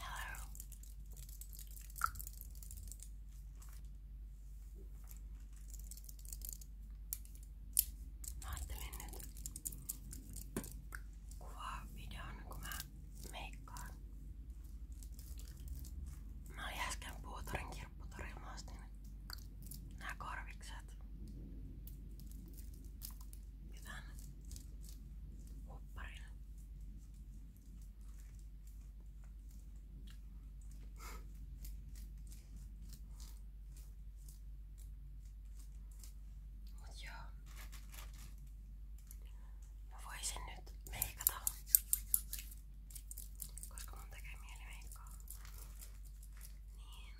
Hello. Mä ajattelin nyt kuvaa videon, kun mä meikkaan. Mä olin äsken puutorin kirpputorilla, mä ostin nää korvikset. Pitää nyt hopparilla. Mut joo. Mä voisin nyt meikata. Koska mun tekee mieli meikkaa. Niin.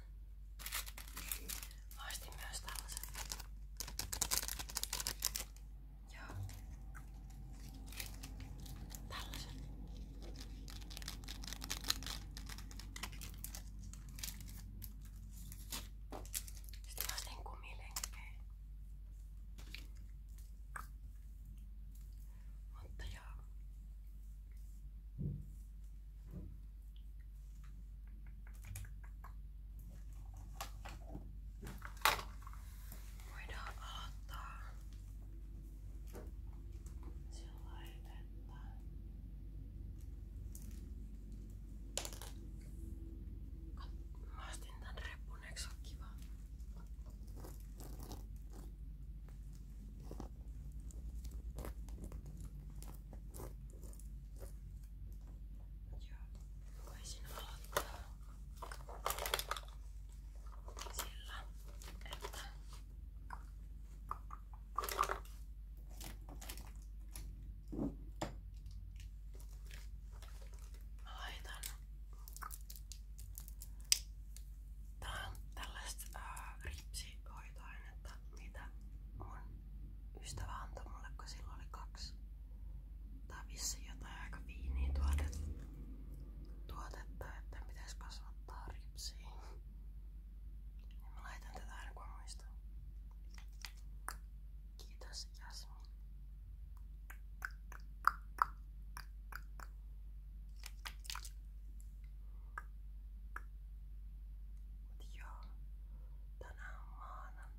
Mä ostin myös tällaisen. Joo. Tällaisen. Sitten mä ostin kumilenkkejä. Mutta joo. Voidaan aloittaa sillä että Mä ostin tän reppun, eikö se oo kiva? Tää Joo, voisin aloittaa sillä, että mä laitan Tää on tällaista äh, ripsihoitoainetta, mitä mun ystävä antoi mulle, kun sillä oli kaksi tai vissi jotain aika viiniä tuotetta, tuotetta että pitäisi kasvattaa ripsiin. Niin mä laitan tätä aina kun muistan. Kiitos Jasmin. Mut joo, tänään on maanantai.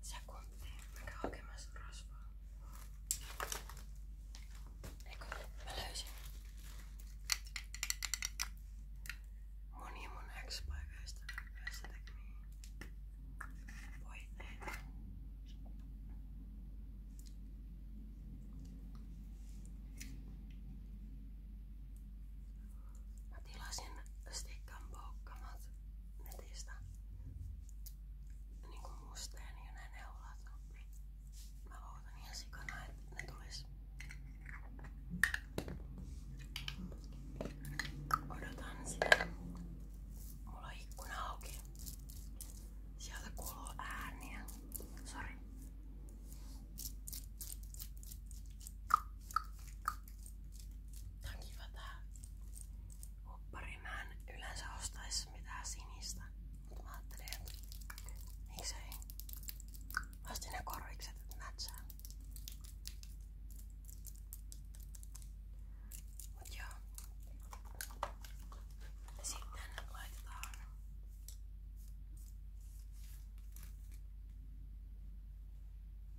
sekuntia. Mä käyn hakemassa rasvaa. Eikö? Mä löysin. Moni mun ex-paikoista näissä tekemiin voitteita. Mä tilasin Stick and Poukkamat netistä niinku musteen ja ne neulat. Mä luotan ihan sikana, että ne tulis. Odotan sitä. Mulla on ikkuna auki. Sieltä kuuluu ääniä. Sori. Tää on kiva tää huppari. Mä en yleensä ostais mitään sinistä, mutta mä ajattelin, että miksei. Mä ostin ne korvikset, että mätsää. Mut joo. Sitten laitetaan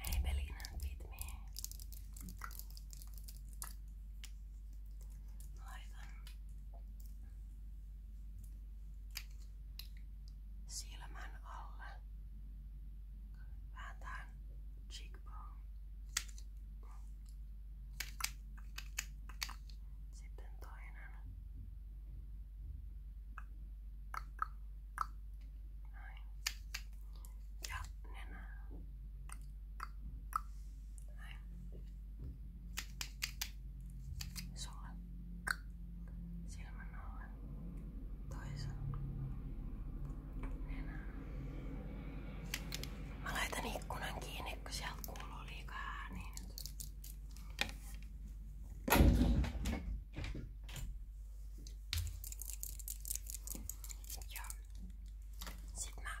Maybelline Fit Me. Laitan silmän alle. Vääntään cheekbone. Sitten toinen. Näin. Ja nenä. Näin sulle silmän alle toisen nenän. Mä laitan ikkunan kiinni, kun sieltä kuuluu liikaa ääniä nyt. Ja sit mä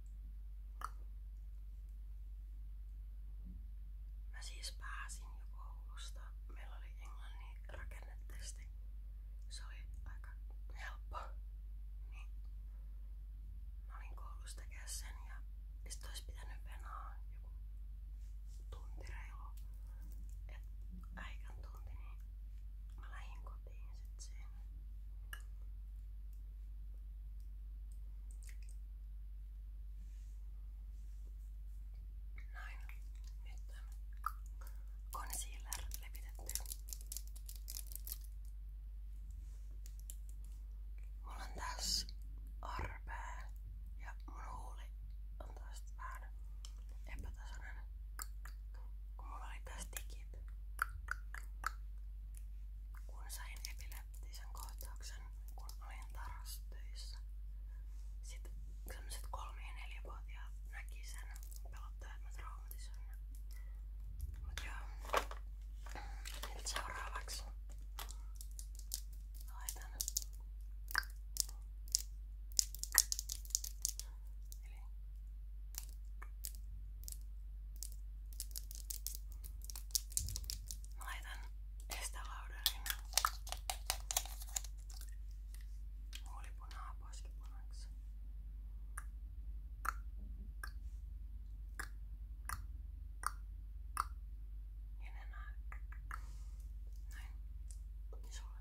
Mä siis pääsin jo koulusta. Meillä oli englannin rakennetesti. Se oli aika helppo. Niin. Mä olin koulussa tekemään sen ja sit olisi pitänyt venaa joku tunti reilu. Et äikän tunti, niin mä lähdin kotiin otettiin sit siinä. Näin. Nyt concealer levitetty. Mulla on tässä arpea ja mun huuli on taas vähän epätasainen. Kun mulla oli tästä kiinni. Kun sain epileptisen kohtauksen, kun olin tarastöissä, sitten sellaiset kolme- ja neljävuotiaat näki sen pelottaa, että mä traumatisoin. Mut joo, nyt seuraavaksi laitan. Eli Mä laitan estelaudariin huulipunaa poskipunaksi. Ja ne näin. Näin. Ja sulle.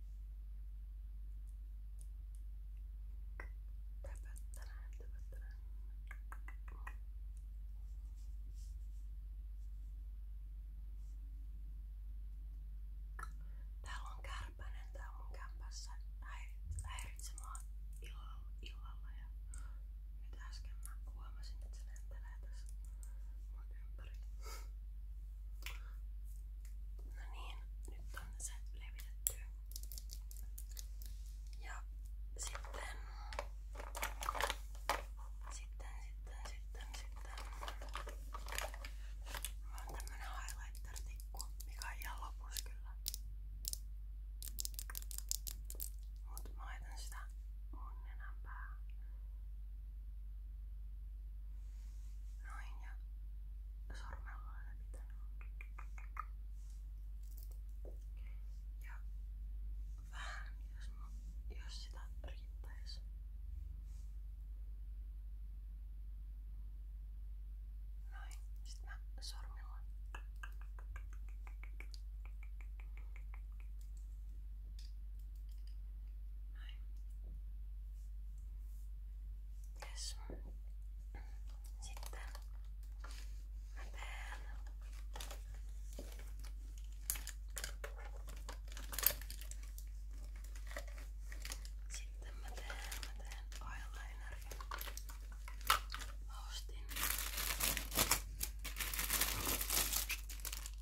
Töpöttelen, töpöttelen. Täällä on kärpänen täällä mun kämpässä häiritsemään illalla, illalla ja nyt äsken mä huomasin, että se lentelee tässä mun ympäri. No niin, nyt on se levitetty. Ja sitten, sitten, sitten, sitten, sitten. Mulla on tämmönen highlighter-tikku, mikä on ihan lopussa kyllä. Mut mä laitan sitä mun nenän päähän. Noin ja sormella aina pitää. Ja vähän jos, jos sitä riittäisi. Noin, sitten mä sormilla. Näin. Yes. Sitten mä teen sitten mä teen, mä teen eyelinerin. Mä ostin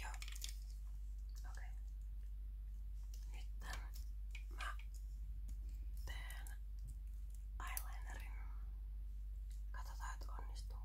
Joo. Okei. Okay. Nyt mä teen eyelinerin. Katsotaan, että onnistuuko.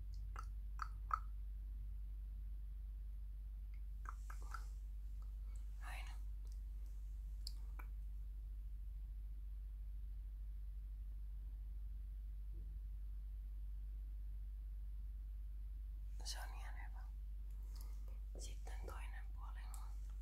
Näin. Se on ihan hyvä. Sitten toinen puoli on. Näin.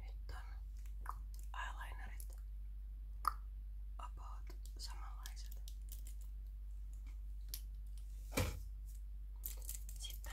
Nyt on eyelinerit about samanlaiset. Sitten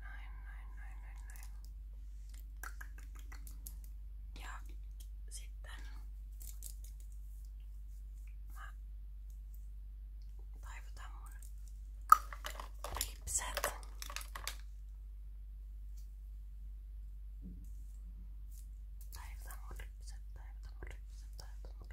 Näin, näin, näin, näin, näin. Ja sitten mä taivutan mun ripset. Taivutan mun ripset, taivutan mun ripset, taivutan mun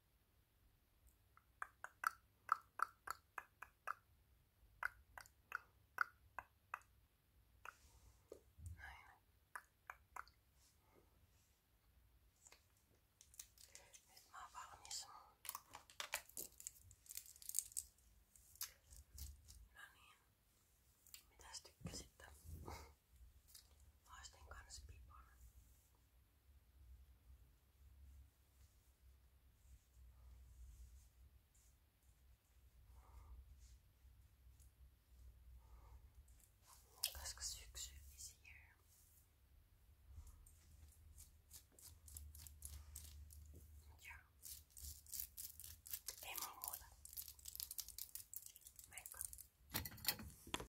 Näin. Nyt mä oon valmis. No niin, mitäs tykkäsitte? Haastin kans pipan. Koska syksy is here. Ja. Ei mulla muuta. Moikka.